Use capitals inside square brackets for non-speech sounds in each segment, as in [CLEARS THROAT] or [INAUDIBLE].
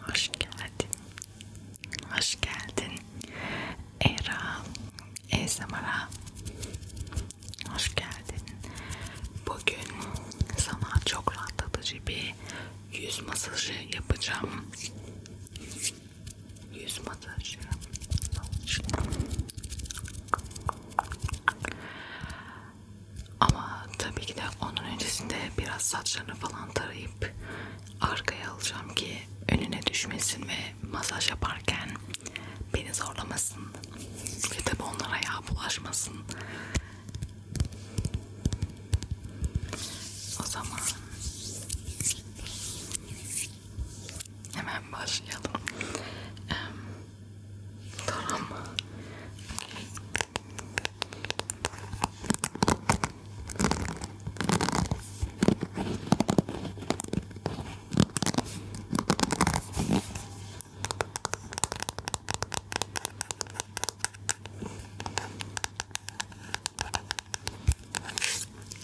Hoş geldin. Hoş geldin. Era, Ezamara. Hoş geldin. Bugün sana çok rahatlatıcı bir yüz masajı yapacağım. Yüz masajı. Ama tabii ki de onun öncesinde biraz saçlarını falan tarayıp arkaya alacağım ki önüne düşmesin ve masaj yaparken beni zorlamasın ve tabi onlara yağ bulaşmasın. O zaman hemen başlayalım. Tamam.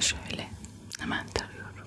Şöyle hemen tarıyorum.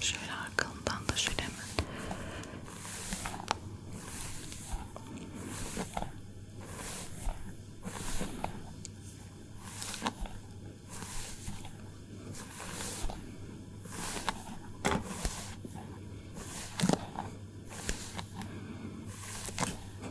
Şöyle arkamdan da şöyle mi?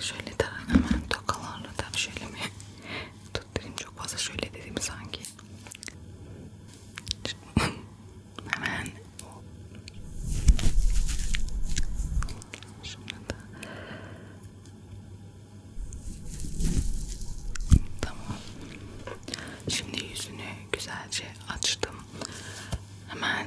Şöyle de hemen tokalarla da şöyle mi tutturayım çok fazla şöyle dedim sanki. hemen şimdi da tamam. Şimdi yüzünü güzelce açtım. Hemen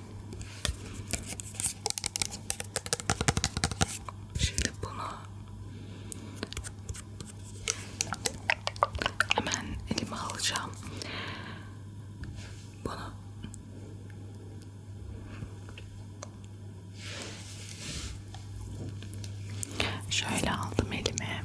Şimdi bunu hemen elime alacağım. Bunu şöyle aldım elime.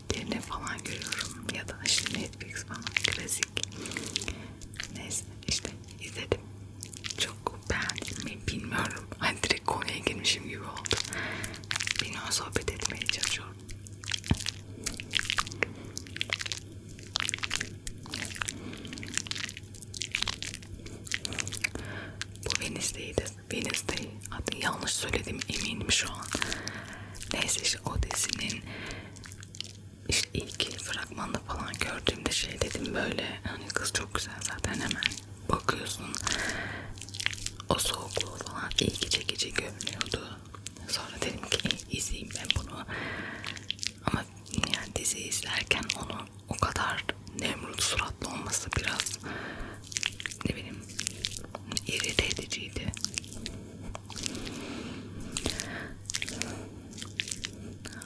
editlerini falan görüyorum ya da işte Netflix falan klasik neyse işte izledim çok beğendim mi bilmiyorum [LAUGHS] hani direkt konuya girmişim gibi oldu benimle sohbet etmeye çalışıyorum bu Venice'deydi Wednesday adı yanlış söyledim eminim şu an. Neyse işte o dizinin işte ilk fragmanda falan gördüğümde şey dedim böyle hani kız çok güzel zaten hemen bakıyorsun o soğukluğu falan iyi gece gece görünüyordu. Sonra dedim ki izleyeyim ben bunu ama yani dizi izlerken onu o kadar nemrut suratlı olması biraz ne bileyim irite ediciydi.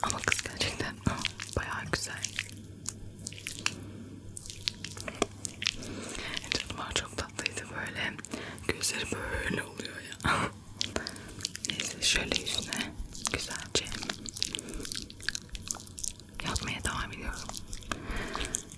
Ama kız gerçekten ah, bayağı güzel. Canım çok tatlıydı böyle. Gözleri böyle oluyor ya. Neyse şöyle yüzüne güzelce yatmaya devam ediyorum.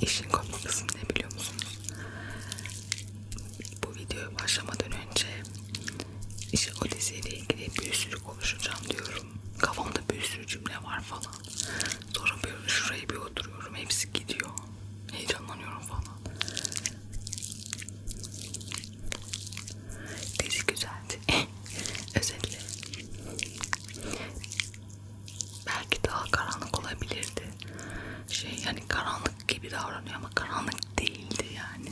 İşin komik kısmı ne biliyor musunuz? Bu videoya başlamadan önce işte o diziyle ilgili bir sürü konuşacağım diyorum. Kafamda bir sürü cümle var falan. Sonra böyle şuraya bir oturuyorum. Hepsi gidiyor. Heyecanlanıyorum falan. Dizi güzeldi. [LAUGHS] Özür dilerim. Belki daha karanlık olabilirdi. Şey yani karanlık gibi davranıyor ama karanlık değildi yani.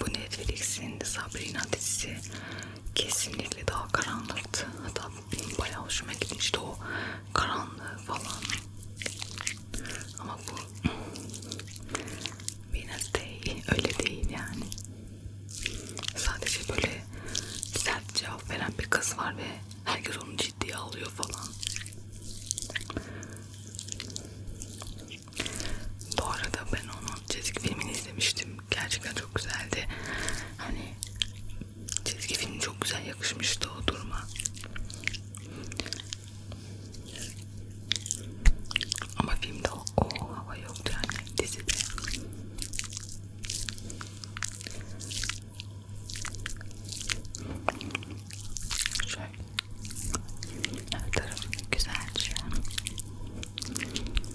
Bu Netflix'in Sabrina dizisi kesinlikle daha karanlıktı. Hatta bayağı hoşuma gitti işte o karanlığı falan ama bu biraz [CLEARS THROAT] değil öyle değil yani sadece böyle sert cevap veren bir kız var ve herkes onu ciddiye alıyor falan bu arada ben onun çizik filmini izlemiştim gerçekten çok güzeldi hani Çizgi film çok güzel yakışmıştı o duruma. Ama filmde o, o hava yoktu yani dizide. Şöyle her tarafı güzelce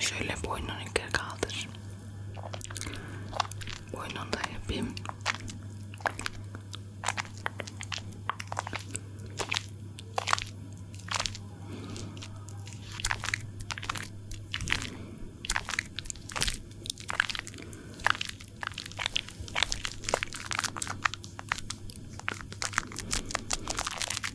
Şöyle boynunu yukarı kaldır. Boynunu da yapayım.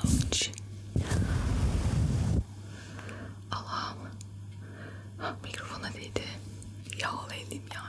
Ouch. Allah'ım. Mikrofona değdi. Yağlı elim yani.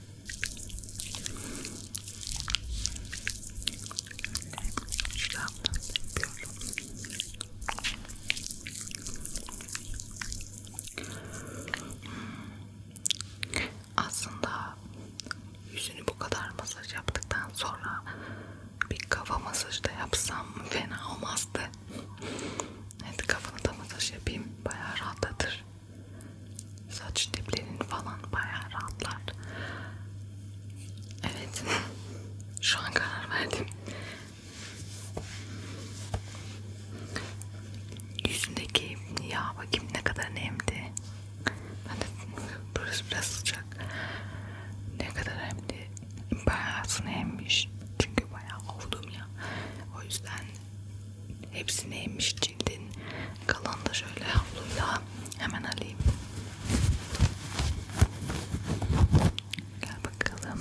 Aslında yüzünü bu kadar masaj yaptıktan sonra bir kafa masajı da yapsam fena olmazdı. Hadi kafanı da masaj yapayım. Bayağı rahatlatır. Saç diplerin falan bayağı rahatlar. Evet. Şu an karar verdim. Yüzündeki yağ bakayım ne kadar nemli. Ben de burası biraz sıcak. Ne kadar nemli. Bayağı sınaymış. Çünkü bayağı oldum ya. O yüzden Hepsi neymiş cildin. Kalan da şöyle havluyla hemen alayım. Gel bakalım.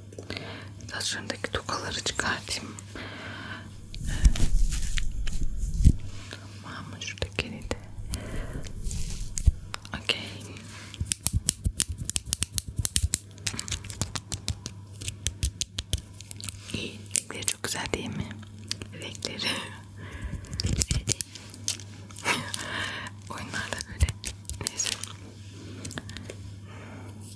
Saçlarımdaki tokaları çıkartayım. Tamam şuradaki de. Okay. İyi. Renkleri çok güzel değil mi? Renkleri. [LAUGHS] Oyunlarda böyle. Neyse.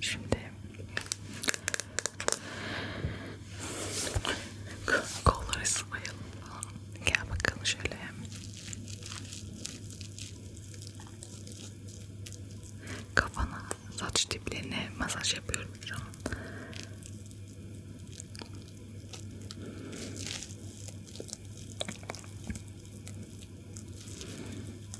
Şimdi kolları sıvayalım. Gel bakalım şöyle. Kafana, saç diplerine masaj yapıyorum şu an.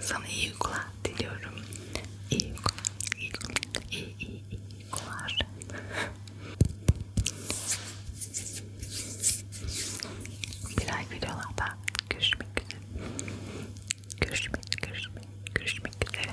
Sana iyi uykular diliyorum. İyi uykular. İyi uykular. İyi, iyi, iyi uykular. Güzel videolarda görüşmek üzere. Görüşmek, görüşmek, görüşmek üzere.